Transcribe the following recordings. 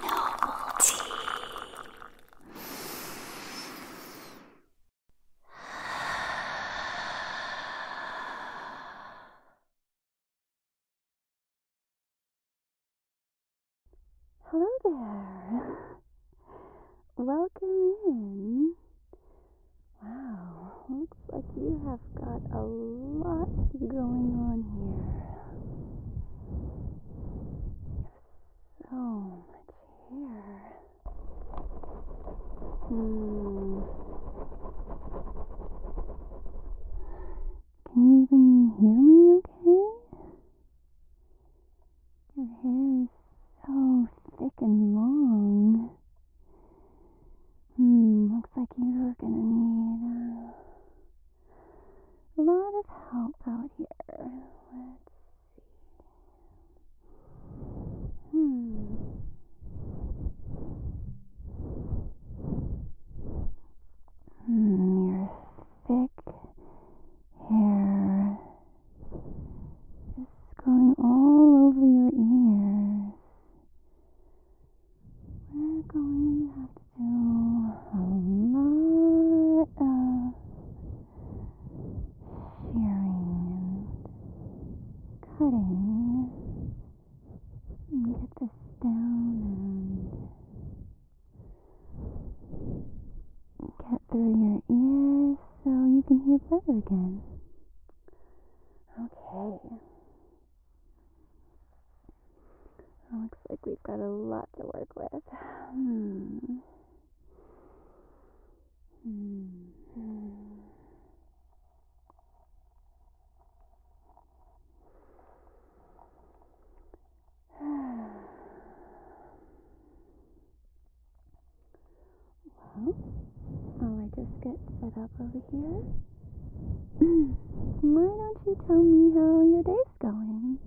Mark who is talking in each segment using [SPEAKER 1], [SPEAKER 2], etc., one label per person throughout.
[SPEAKER 1] Novelty. Hello there. Welcome in. Wow, looks like
[SPEAKER 2] you have got a lot going on here. So much hair.
[SPEAKER 1] Hmm.
[SPEAKER 2] Can you even hear me okay? Your hair is so thick and long. Hmm, looks like you're gonna need uh, a lot of help out here. Let's see. Hmm. hmm. your thick hair is growing all over your ears we're going to have to do a lot of shearing
[SPEAKER 1] and
[SPEAKER 2] cutting and get this down and get through your ears so you can hear better again.
[SPEAKER 1] Okay
[SPEAKER 2] looks like we've got a lot to work with. Hmm. well, I just get set up over here? Hmm. Why don't you tell me how your day's going?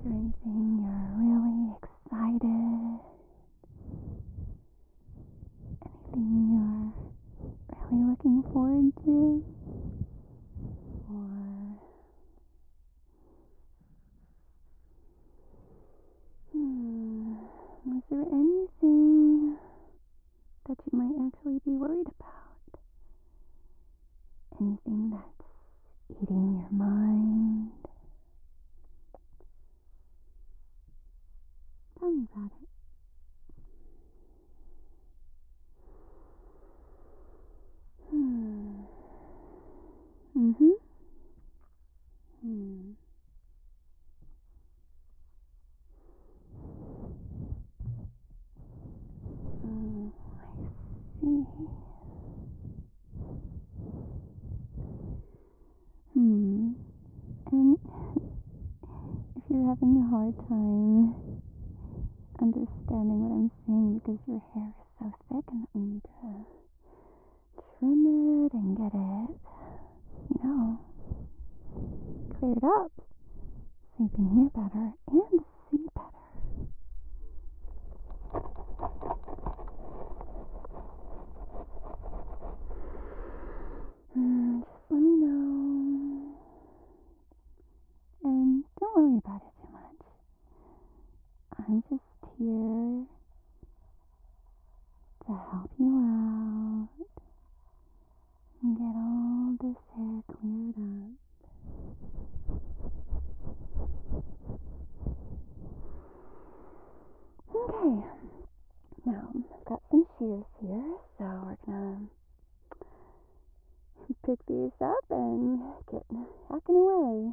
[SPEAKER 2] Is there anything you're really excited? Anything you're really looking forward to? Or. Hmm. Was there anything that you might actually be worried about. Anything that's eating your mind. Tell me about it.
[SPEAKER 1] Hmm. Mm-hmm. Hmm.
[SPEAKER 2] Oh, I see. Hmm. And if you're having a hard time understanding what I'm saying because your hair is so thick and that trim it and get it, you know, cleared up so you can hear better and see better.
[SPEAKER 1] Mm, just let me know. And don't
[SPEAKER 2] worry about it too much. I'm just here to help you out and get all this hair cleared up. Okay, now I've got some shears here, so we're gonna pick these up and get hacking away.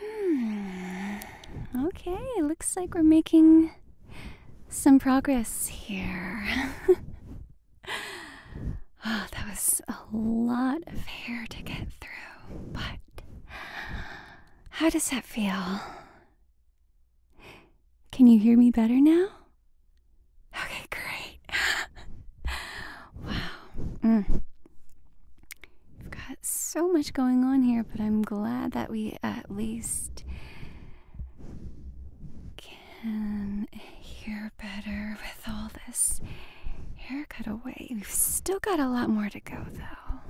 [SPEAKER 2] Hmm. Okay, looks like we're making some progress here. oh, that was a lot of hair to get through, but how does that feel? Can you hear me better now? Okay, great. wow. Mm. We've got so much going on here, but I'm glad that we at least can hear better with all this hair cut away. We've still got a lot more to go, though.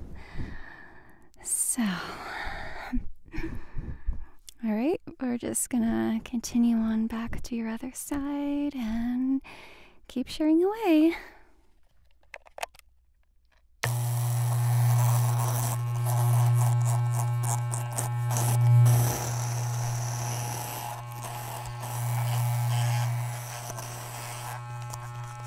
[SPEAKER 2] So, all right, we're just gonna continue on back to your other side and keep shearing away.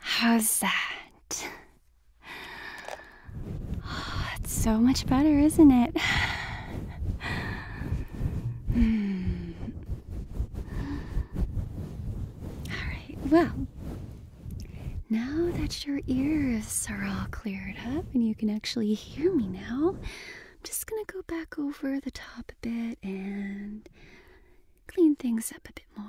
[SPEAKER 2] How's that? it's so much better, isn't it? Hmm well, now that your ears are all cleared up and you can actually hear me now, I'm just gonna go back over the top a bit and clean things up a bit more.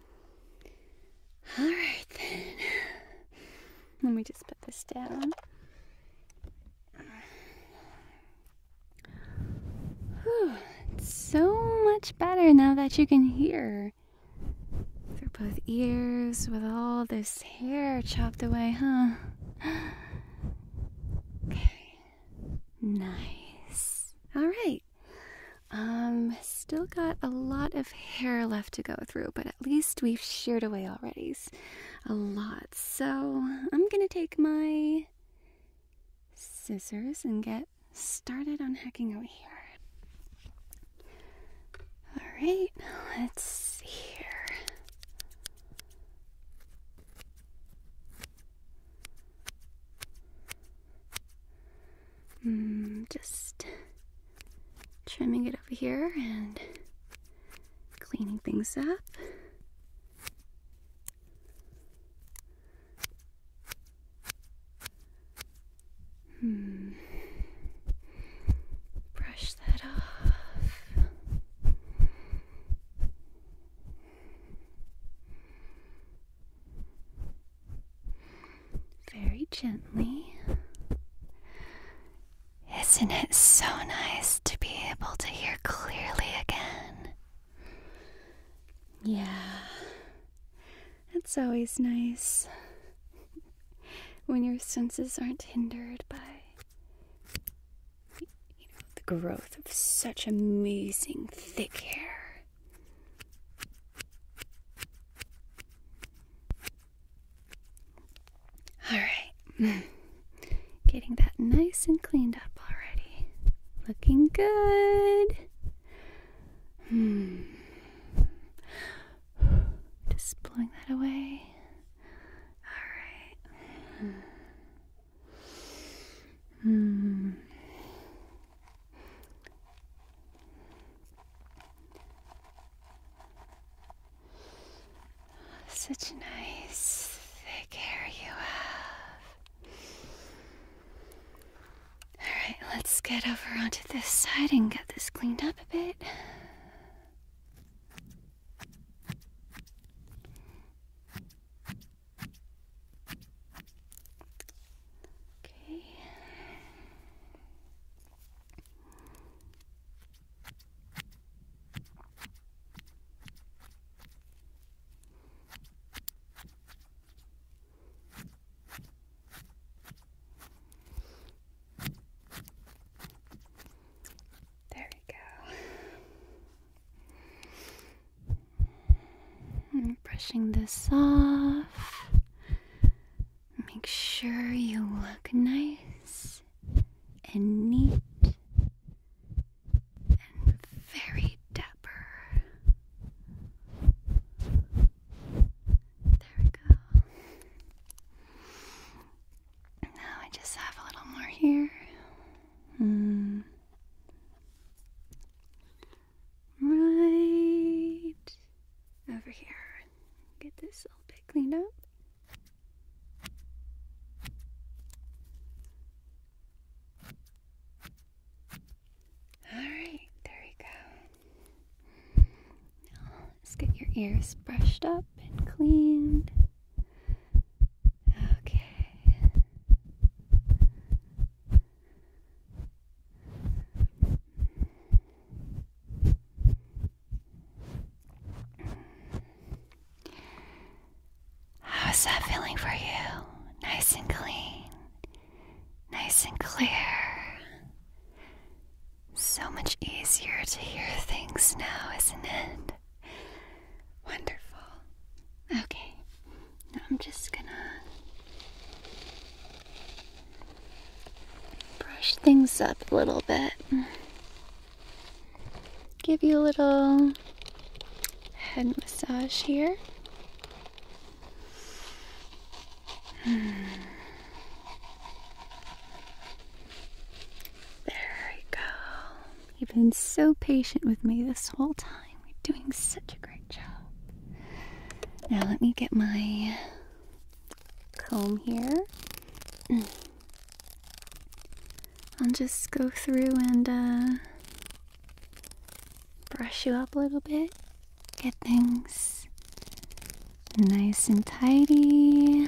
[SPEAKER 2] All right, then. Let me just put this down. it's so much better now that you can hear. Through both ears, with all this hair chopped away, huh? Okay. Nice. All right. Um, still got a lot of hair left to go through, but at least we've sheared away already a lot. So I'm gonna take my scissors and get started on hacking out here. Alright, let's see here. Mm, just trimming it over here and cleaning things up. Hmm. Brush that off very gently. Isn't it so nice to be able to hear clearly again? Yeah, it's always nice when your senses aren't hindered by the growth of such amazing thick hair. Alright. Getting that nice and cleaned up already. Looking good. Hmm. Just blowing that away.
[SPEAKER 1] Alright. Hmm. hmm.
[SPEAKER 2] Such a nice thick hair you have. Alright, let's get over onto this side and get this cleaned up a bit. Okay. There we go. brushing this off. Make sure you look nice and neat and very dapper. There we go. Now I just have a little more here. Mm right over here. Get this little bit cleaned up. Alright, there we go. let's get your ears brushed up and cleaned. Okay. How's that feeling for you? Nice and clean, nice and clear. So much easier to hear things now, isn't it? Wonderful. Okay, I'm just gonna Brush things up a little bit. Give you a little head massage here. Hmm. There we go. You've been so patient with me this whole time. You're doing such a great now let me get my comb here. I'll just go through and uh, brush you up a little bit, get things nice and tidy.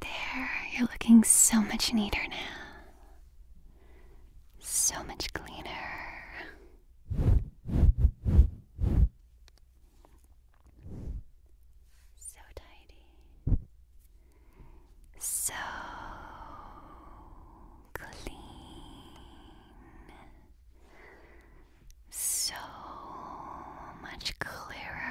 [SPEAKER 2] There, you're looking so much neater now. So much cleaner. So tidy. So clean. So much clearer.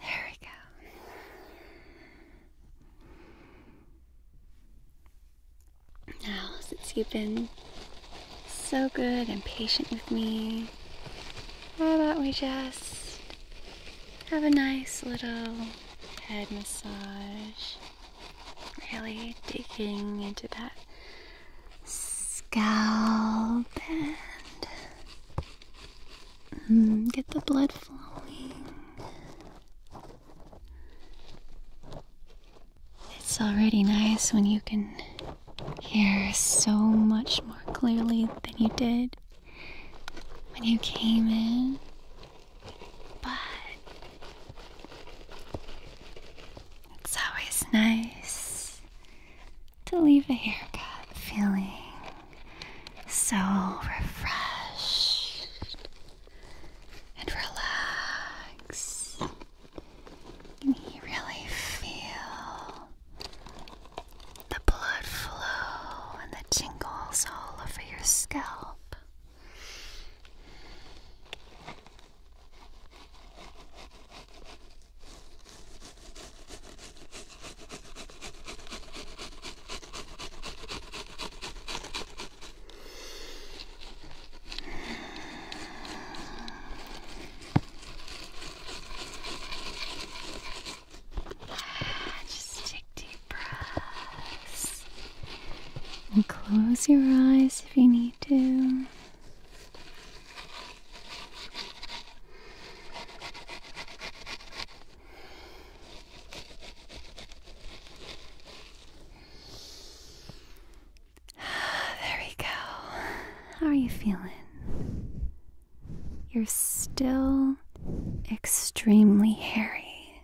[SPEAKER 2] There we go. Now, since you've been so good and patient with me, how about we just have a nice little head massage? Really digging into that scalp and mm, get the blood flowing. It's already nice when you can hear so much more clearly than you did when you came in. But it's always nice to leave a haircut feeling so refreshed and relaxed. You really feel the blood flow and the tingles all over your scalp.
[SPEAKER 1] just take deep
[SPEAKER 2] breaths and close your eyes if you need to. There we go. How are you feeling? You're still extremely hairy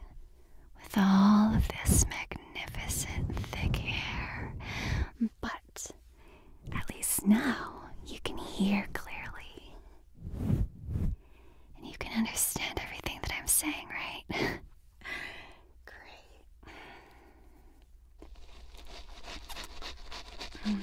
[SPEAKER 2] with all of this magnificent magnificent thick hair. But at least now you can hear clearly. And you can understand everything that I'm saying, right? Great. Hmm.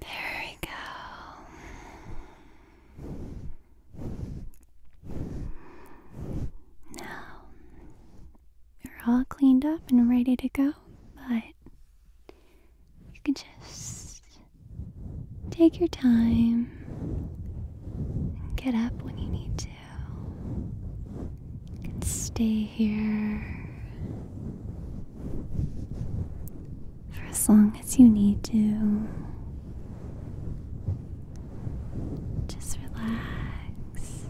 [SPEAKER 2] There we go. Now, you're all cleaned up and ready to go, but you can just take your time and get up when you need to. You can stay here for as long as you need to. Just relax.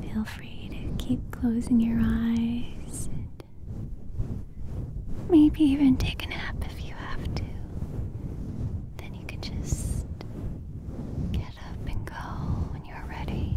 [SPEAKER 2] Feel free to keep closing your eyes and maybe even take a nap if you have to. Then you can just get up and go when you're ready.